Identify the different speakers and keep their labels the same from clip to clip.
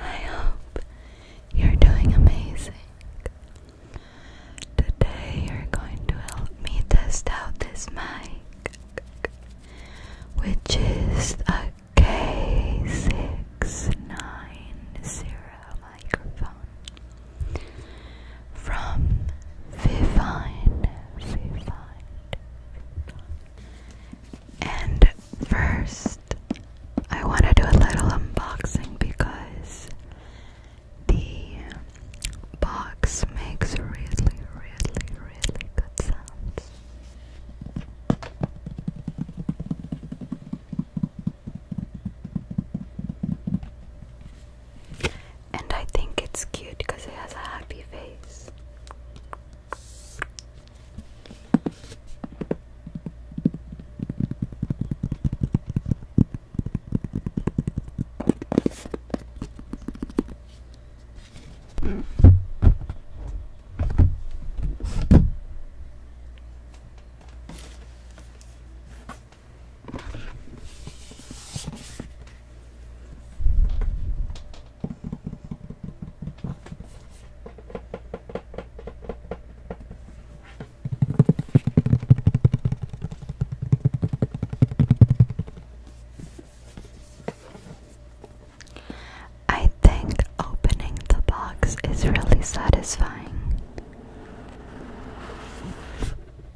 Speaker 1: I you're doing amazing. Today you're going to help me test out this mic, which is a K690 microphone from Vivine, and first I want to do a little unboxing because the box makes really, really, really good sounds. And I think it's cute because it has a happy face. I think opening the box is really satisfying.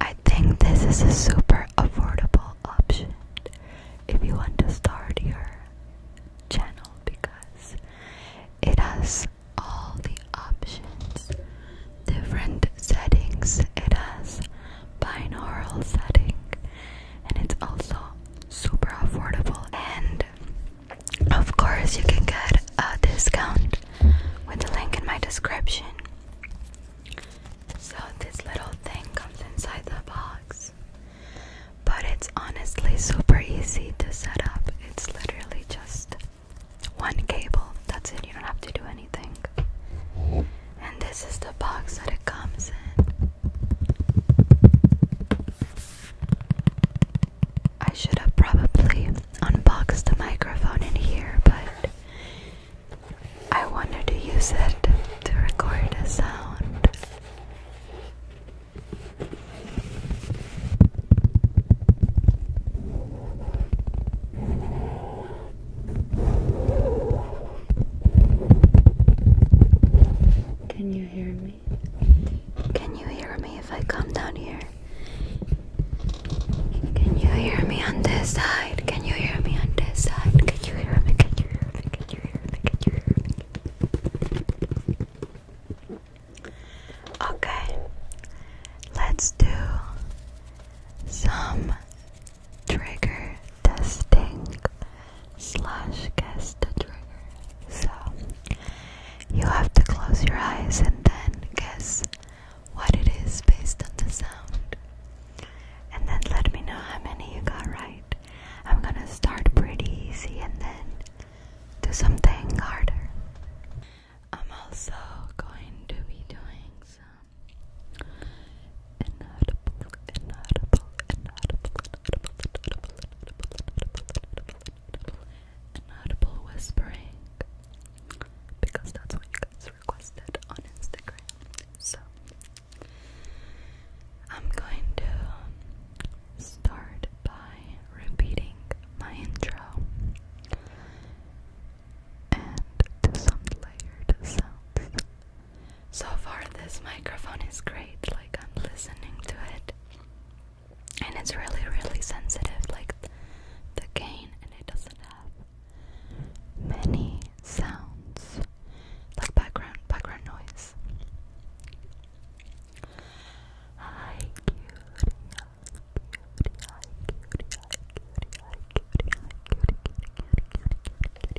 Speaker 1: I think this is a super affordable option if you want to start your channel because it has all the options, different settings, it has binaural setting, and it's also super affordable and of course you can get a discount with the link in my description so this little thing comes inside the box but it's honestly super easy to set up it's literally just one cable that's it you don't have to do anything and this is the box that it comes in I should have probably unboxed the microphone in here, but I wanted to use it to record a sound. Can you you hear me? Can you hear me if I come down here? Can you hear me on this side? Can you hear me on this side? Can you hear me? Can you hear me? Can you hear me? Okay, let's do some trigger testing slash guess the trigger. So you have to close your eyes and then guess what it is based on the sound. And then let me know how many you got right. I'm gonna start pretty easy and then do something harder. I'm also going to be doing some inaudible, inaudible, inaudible, an whispering because that's what you guys requested on Instagram. So I'm going to start by repeating my intro and some layered sounds so far, this microphone is great, like, I'm listening to it, and it's really, really sensitive, like the gain, and it doesn't have many sounds, like background, background noise. Hi, cutie,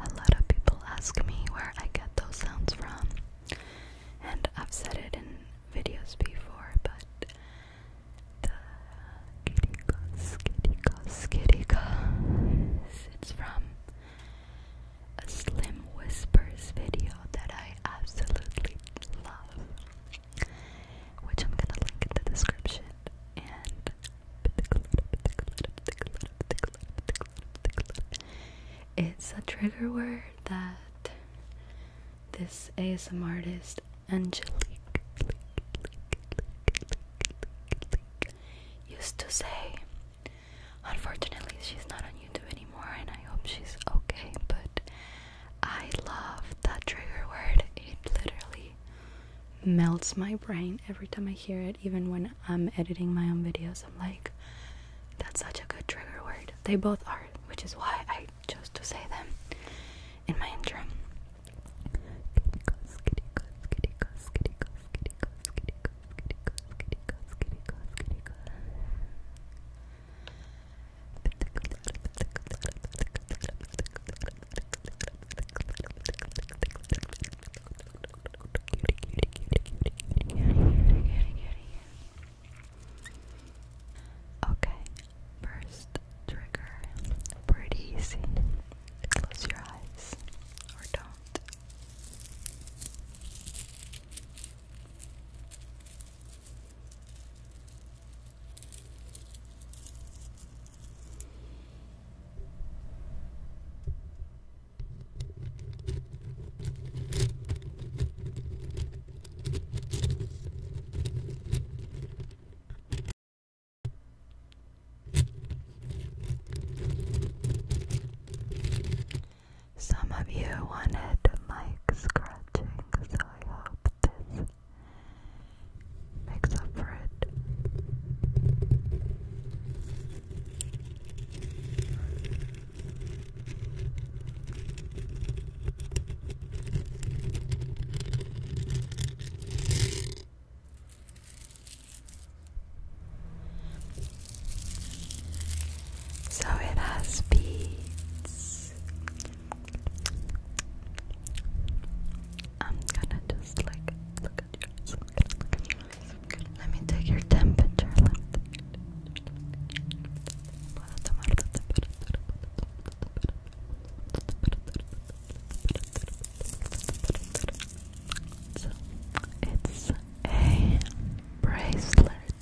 Speaker 1: A lot of people ask me where I get those sounds from, and I've said it in videos before, but the kittycos, kittycos, kittycos, it's from a Slim Whispers video that I absolutely love, which I'm gonna link in the description. And it's a trigger word that this ASM artist Angelique used to say. Unfortunately, she's not on YouTube anymore, and I hope she's okay. But I love that trigger word, it literally melts my brain every time I hear it, even when I'm editing my own videos, I'm like, that's such a good trigger word. They both are, which is why I chose to say them in my intro. Okay, first trigger, pretty easy. Close your eyes or don't. Some of you wanted mic scratching, so I hope this makes up for it. So it has beads. I'm gonna just like look at your let me take your temperature. Let me so, it's a bracelet.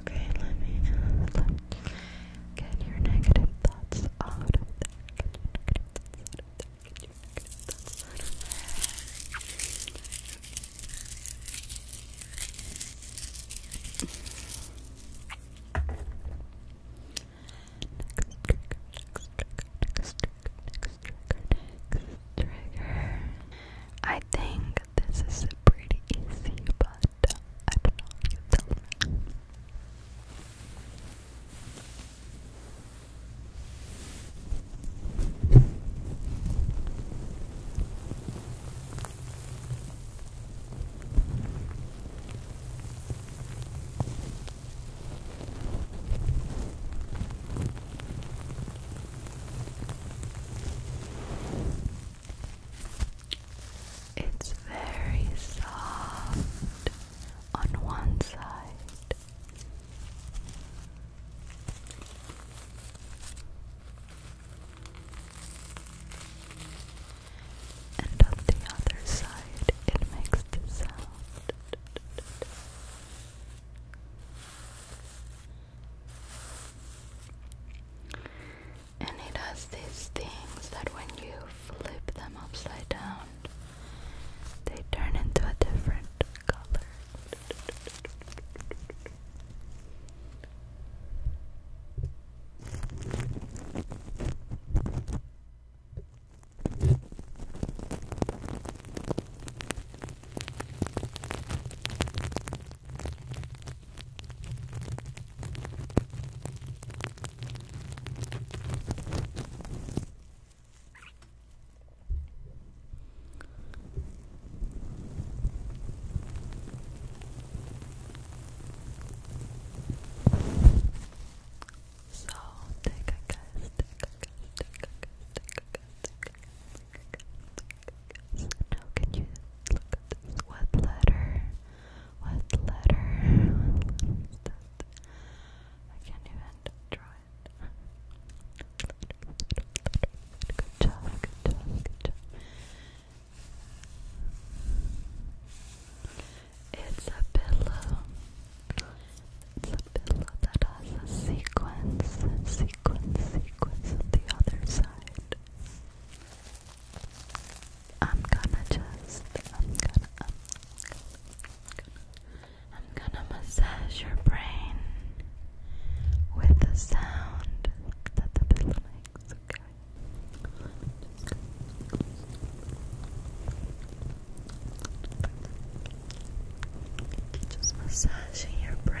Speaker 1: Okay, let me, get your negative thoughts out of trigger. I think this is pretty easy, but I do you tell it's very soft on one side. And on the other side, it makes the sound. And it has these things that when you flip them upside down, they turn into a different color. So take a guess, Now can you look What letter what letter? letter I can't even draw it. Good job, good job, good job. It's a pillow. It's a pillow that has a sequence, sequence, sequence on the other side. I'm gonna just, I'm gonna, I'm gonna, I'm gonna massage your brain with the sound that the pillow makes, okay? Just massaging your brain.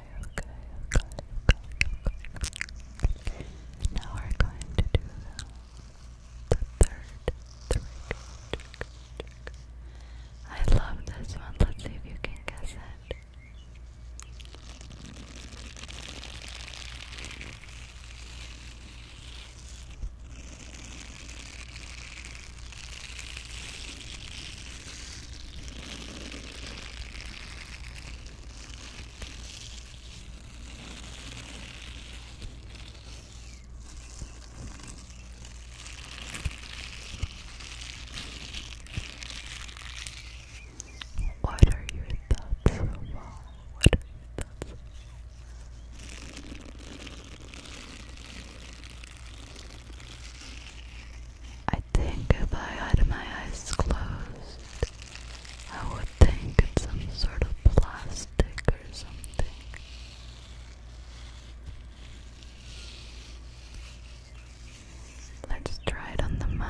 Speaker 1: okay, okay, okay. And now we're going to do the, third trigger, I love this one. Let's see if you can guess it. What are your thoughts What thoughts I think if I had my eyes closed, I would think it's some sort of plastic or something. Let's try it on the mic.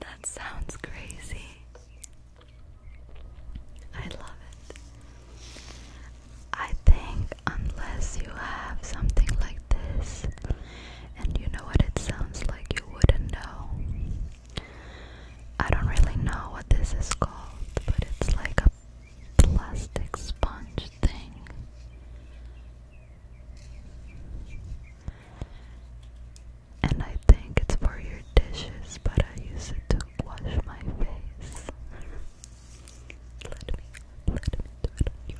Speaker 1: That sounds crazy. I love it. I think, unless you have something like this, and you know what it sounds like, you wouldn't know. I don't really know what this is called, but it's like a plastic sponge thing. And I think it's for your dishes, but I use it to wash my face. let me, let me do it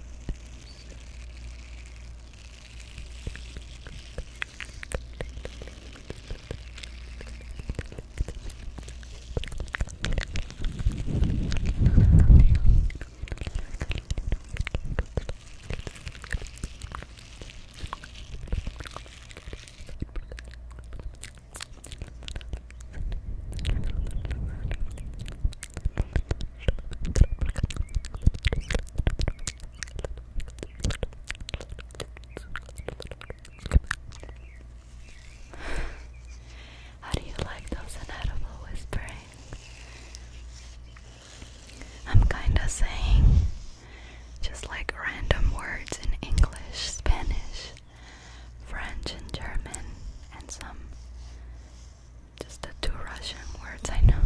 Speaker 1: how do you like those inedible whisperings? I'm kinda saying just like random words in English, Spanish, French, and German, and some just the two Russian words I know.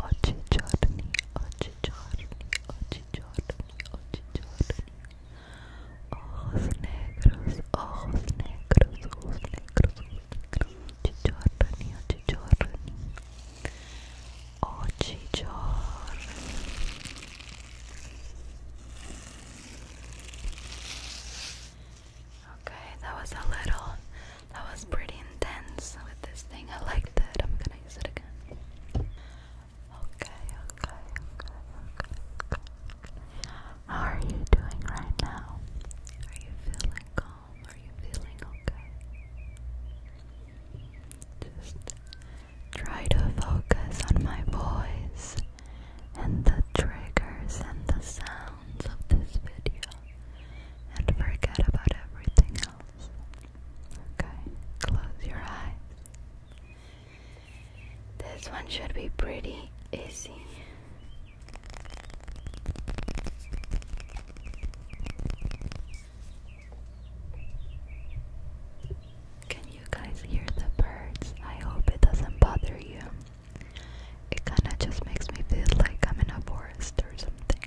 Speaker 1: Ochichorni, ochichorni, ochichorni, ochichorni. Ojos negros, ojos negros, ojos negros, giorni, oggi giorni, oggi giorni. Okay, that was a little, that was pretty intense with this thing. I liked it. I'm gonna use it again. Okay, okay, okay, are you doing right now? Are you feeling calm? Are you feeling okay? Just try to focus on my voice and the triggers and the sounds of this video and forget about everything else. Okay, close your eyes. This one should be pretty easy. Can you guys hear the birds? I hope it doesn't bother you. It kinda just makes me feel like I'm in a forest or something.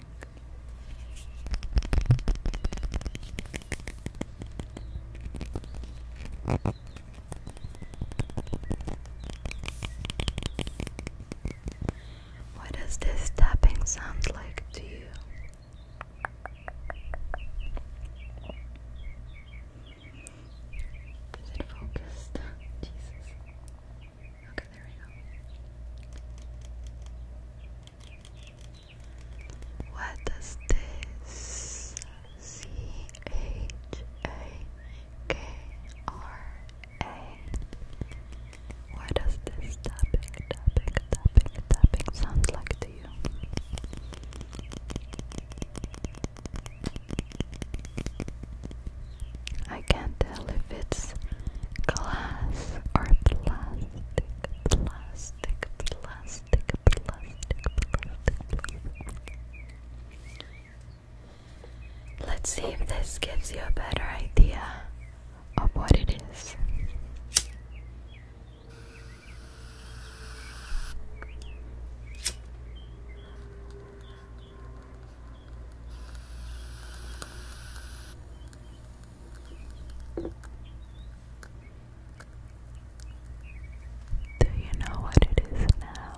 Speaker 1: What does this tapping sound like to you? Is it focused? Jesus. Okay, there we go. What does this C H A K R a. Why does this tapping, tapping, tapping, tapping sound like to you? I can't tell if it's glass or plastic, plastic, plastic, plastic, plastic. plastic. Let's see if this gives you a better idea of what it is. Do you know what it is now?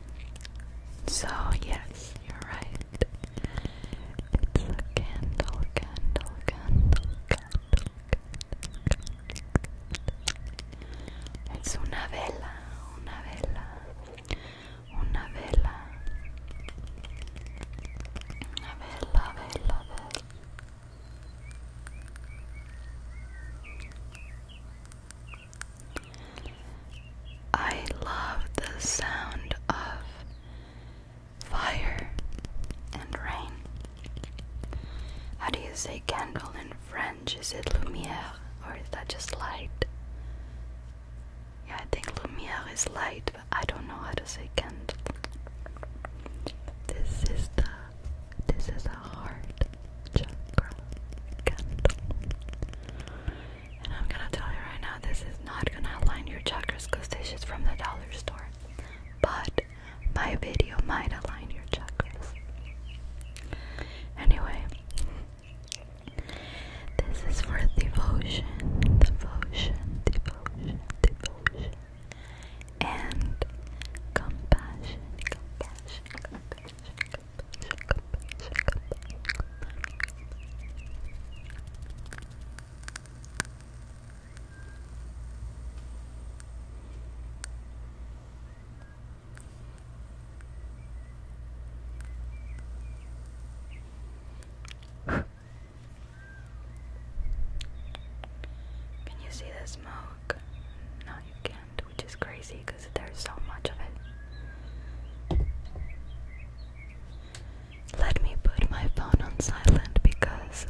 Speaker 1: So, yes, you're right. It's a candle, candle, candle, candle, It's una vela, una vela, una vela. Una vela, vela, vela. I love the sound of fire and rain. How do you say candle in French? Is it lumière or is that just light? Yeah, I think lumière is light, but I don't know how to say candle. This is the this is a heart chakra candle. And I'm gonna tell you right now, this is not gonna align your chakras because this is from the dollar store. But my video might align your chakras. Anyway, this is for devotion, devotion, devotion, devotion, and compassion, compassion, compassion, can you see the smoke? No, you can't, which is crazy because Let me put my phone on silent because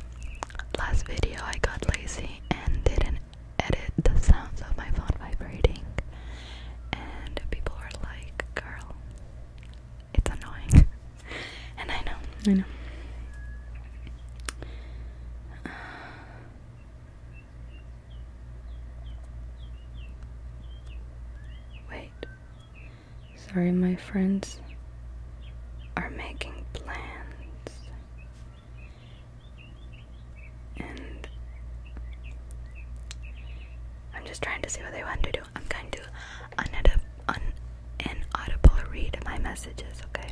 Speaker 1: last video I got lazy and didn't edit the sounds of my phone vibrating, and people are like, girl, it's annoying. and I know, I know. Uh, Wait. Sorry, my friends are making plans. And I'm just trying to see what they want to do. I'm going to unaudib un audible read my messages, okay?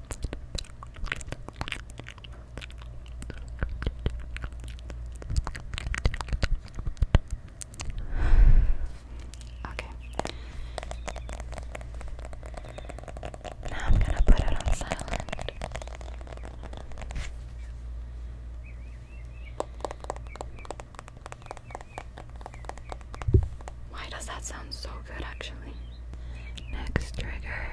Speaker 1: Okay. Now I'm going to put it on silent. Why does that sound so good actually? Next trigger.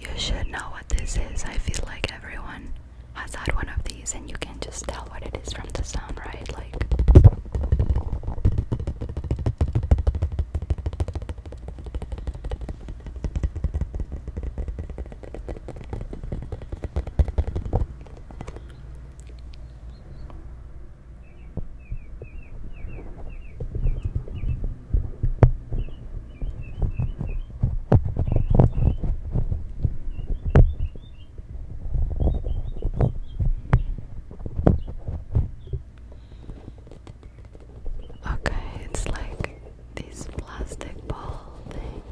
Speaker 1: You should know what this is. I feel like everyone has had one of these, and you can just tell what it is from the sound, right? Like. Okay, it's like this plastic ball thing.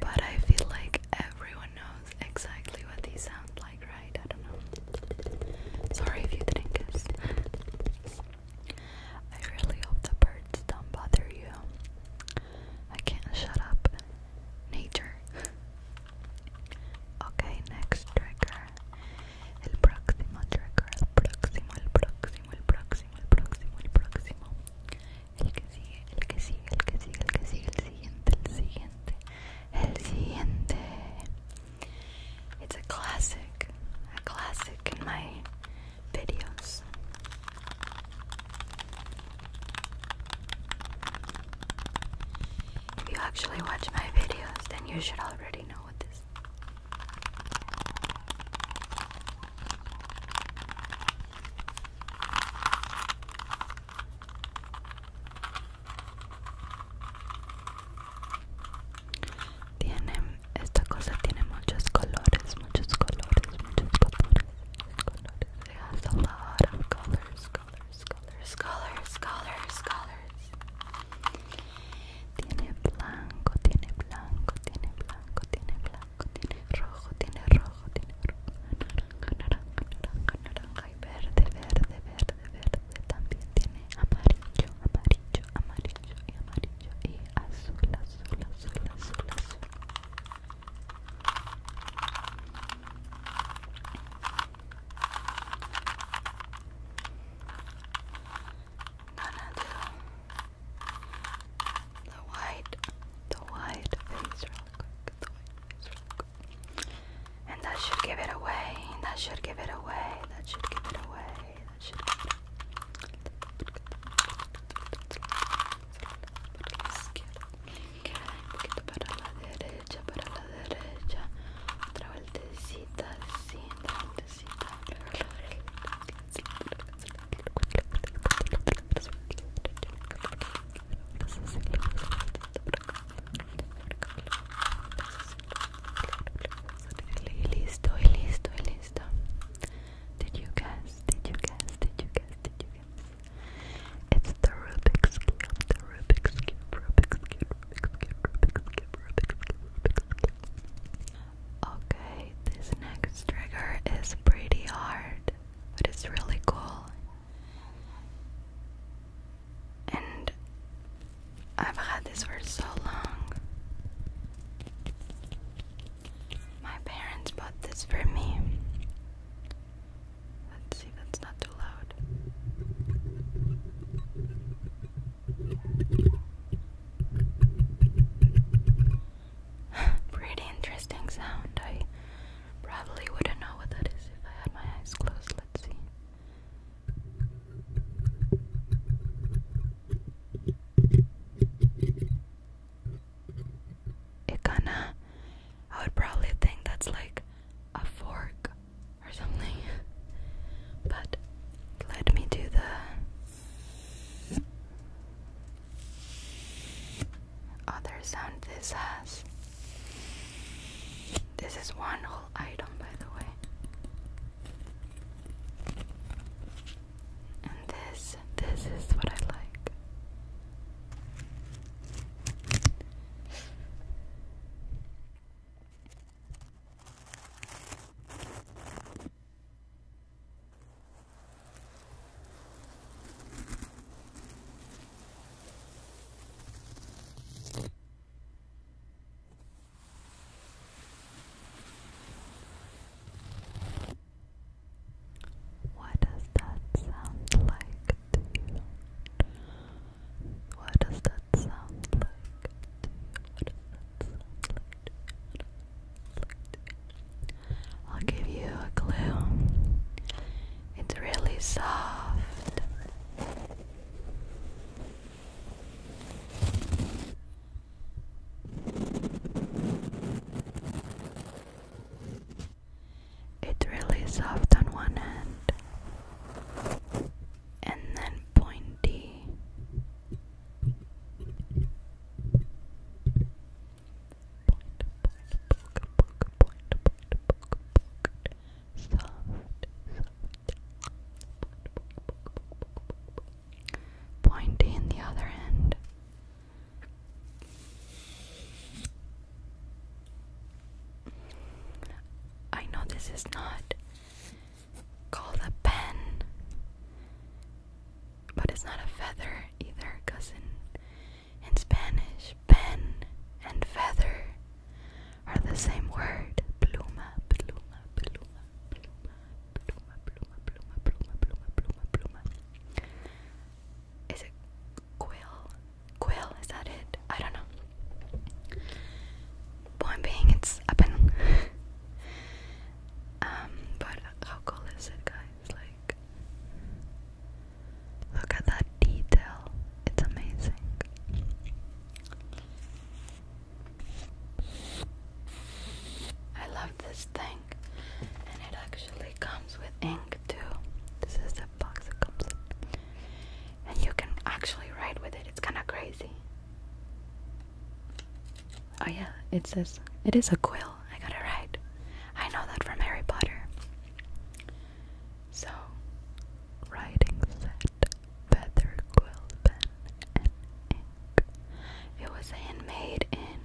Speaker 1: But I feel like everyone knows exactly what these sound like, right? I don't know. Sorry if you didn't guess. I really hope the birds don't bother you. I can't shut up. Nature. okay, next trigger. El próximo trigger. El próximo, el próximo, el próximo, el próximo, el próximo. El que sigue, el que sigue, el que sigue, el que sigue, el siguiente, el siguiente. El siguiente. It's a classic, a classic in my videos. If you actually watch my videos, then you should already know what this Tienen Esta cosa tiene muchos colores, muchos colores, muchos colores, colores. colors, colors, colors, colors, colors. Tiene blanco, tiene blanco, tiene blanco, tiene blanco, tiene rojo, tiene rojo, tiene rojo, naranja, naranja, naranja, naranja y verde, verde, verde, verde. También tiene amarillo, amarillo. amarillo, amarillo y amarillo y azul, azul, azul, azul, azul. Gonna do the white, the white face real quick, the white face real quick. And that should give it away, that should give it away, that should give it away, poquito para la derecha, para la derecha, otra vueltecita, así, otra vueltecita. Listo, listo, listo. Did you guess? Did you guess? Did you guess? Did you guess? It's the Rubik's Cube, the Rubik's Cube, Rubik's Cube, Rubik's Cube, Rubik's Cube, Rubik's Cube, Rubik's Cube. Okay, this next trigger is pretty hard, but it's really cool. And I've had this for so long. My parents bought this for me. Let's see that's not too loud. Pretty interesting sound. I probably wouldn't know what that is if I had my eyes closed. Let's see. It kinda, I would probably think that's like a fork or something, but let me do the other sound this has. This is one whole item, by the way. And this, this is what I like. What does that sound like to you? What does that sound like to you? What does that sound like to you? I'll give you a clue. It's really soft. It's really soft on one end and then pointy. Point, point, poke, poke, point, point, poke, poke. Soft, soft, Pointy in the other end. I know this is not called a pen, but it's not a feather either, because in, in Spanish, pen and feather are the same word. Pluma, pluma, pluma, pluma, pluma, pluma, pluma, pluma, pluma, pluma, pluma. Is it quill? Quill, is that it? I don't know. Point being, it's up and. um, but how cool is it, guys? Like, look at that detail. It's amazing. I love this thing, and it actually comes with ink too. This is the box it comes in, and you can actually write with it. It's kind of crazy. Oh yeah, it says it is a quill. I got it right. I know that from Harry Potter. So, writing feather quill It was handmade in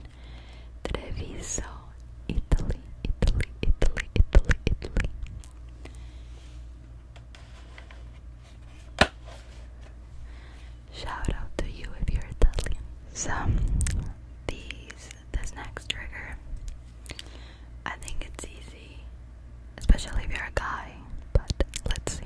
Speaker 1: Treviso, Italy, Italy, Italy, Italy, Italy. Shout out to you if you're Italian. So, these, this next trigger, I think it's easy, especially if you're a guy, but let's see.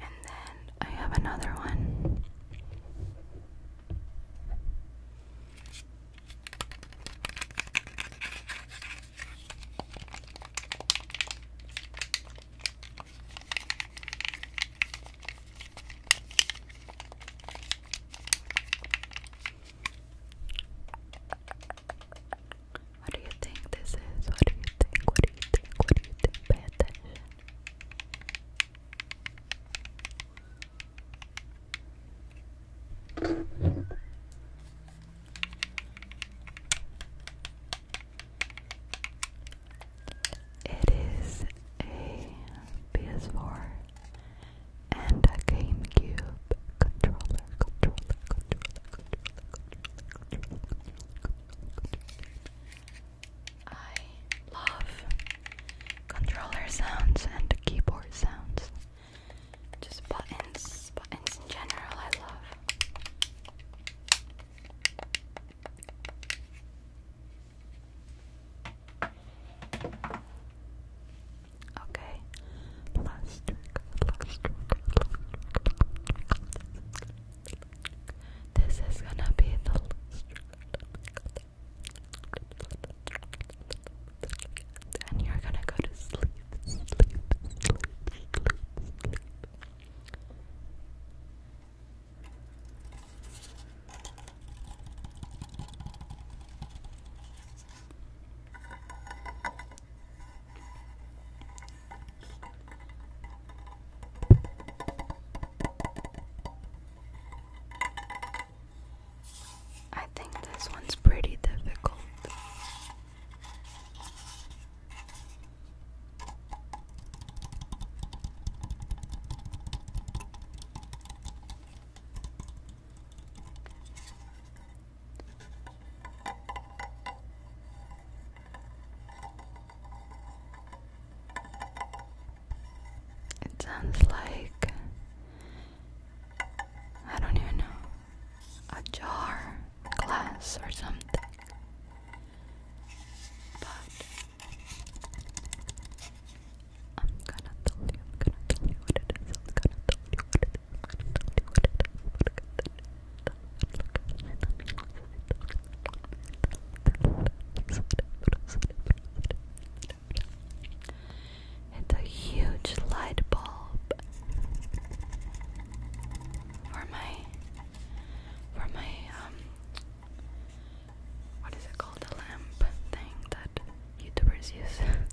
Speaker 1: And then I have another one. What do you think this is? What do you think? What do you think? What do you think? Pay attention. It is a PS4 and a GameCube controller, I love controller sounds and keyboard sounds. Just buttons, buttons in general, I love. Okay, plastic, plastic, plastic, this is gonna be the and you're gonna go to sleep. I think this one's pretty difficult. It sounds like I don't even know a jar, glass, or something. But I'm gonna tell you, I'm gonna tell you what it is, I'm gonna tell you what it is, I'm gonna tell you what its it's a huge light bulb for my for my um what is it called a lamp thing that YouTubers use.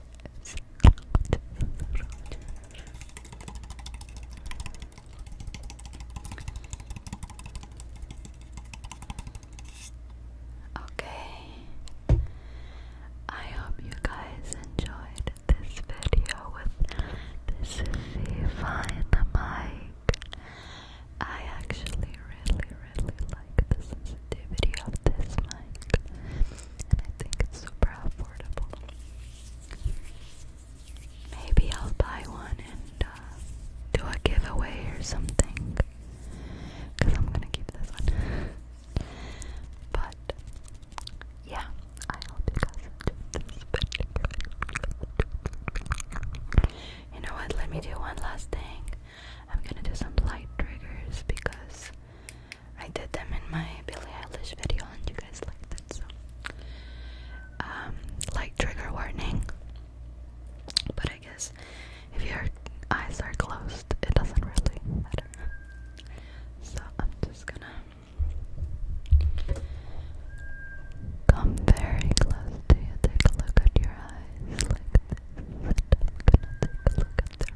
Speaker 1: Rogers. Okay. I hope you guys enjoyed this video with this is the fine mic. I actually really, really like the sensitivity of this mic, and I think it's super affordable. Maybe I'll buy one and uh, do a giveaway or something. Because I'm going to keep this one. but, yeah, I hope you this You know what? Let me do one last thing. I'm going to do some light triggers because I did them in my Billie Eilish video, and you guys liked it. So, um, like trigger warning. But I guess if your eyes are closed, it doesn't really matter. So I'm just gonna come very close to you, take a look at your eyes like and take a look at their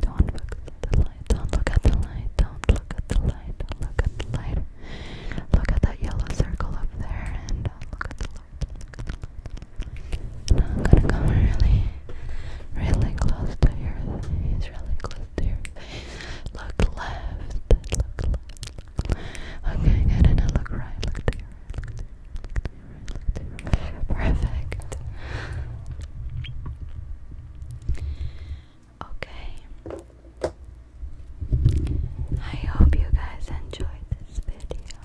Speaker 1: Don't look at the light. Don't look at the light. Don't look at the light. look at the light. Look at that yellow circle up there and uh, look at the light. I'm gonna come really, really close to your face. Really close to your face. Look left. Look left. Okay, good. And look right. Look to Perfect. Okay. I hope you guys enjoyed this video.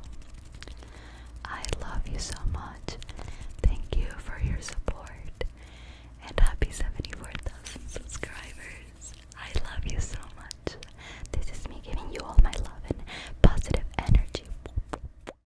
Speaker 1: I love you so much. Thank you for your support. And happy 74,000 subscribers. I love you so much. This is me giving you all my love and positive energy.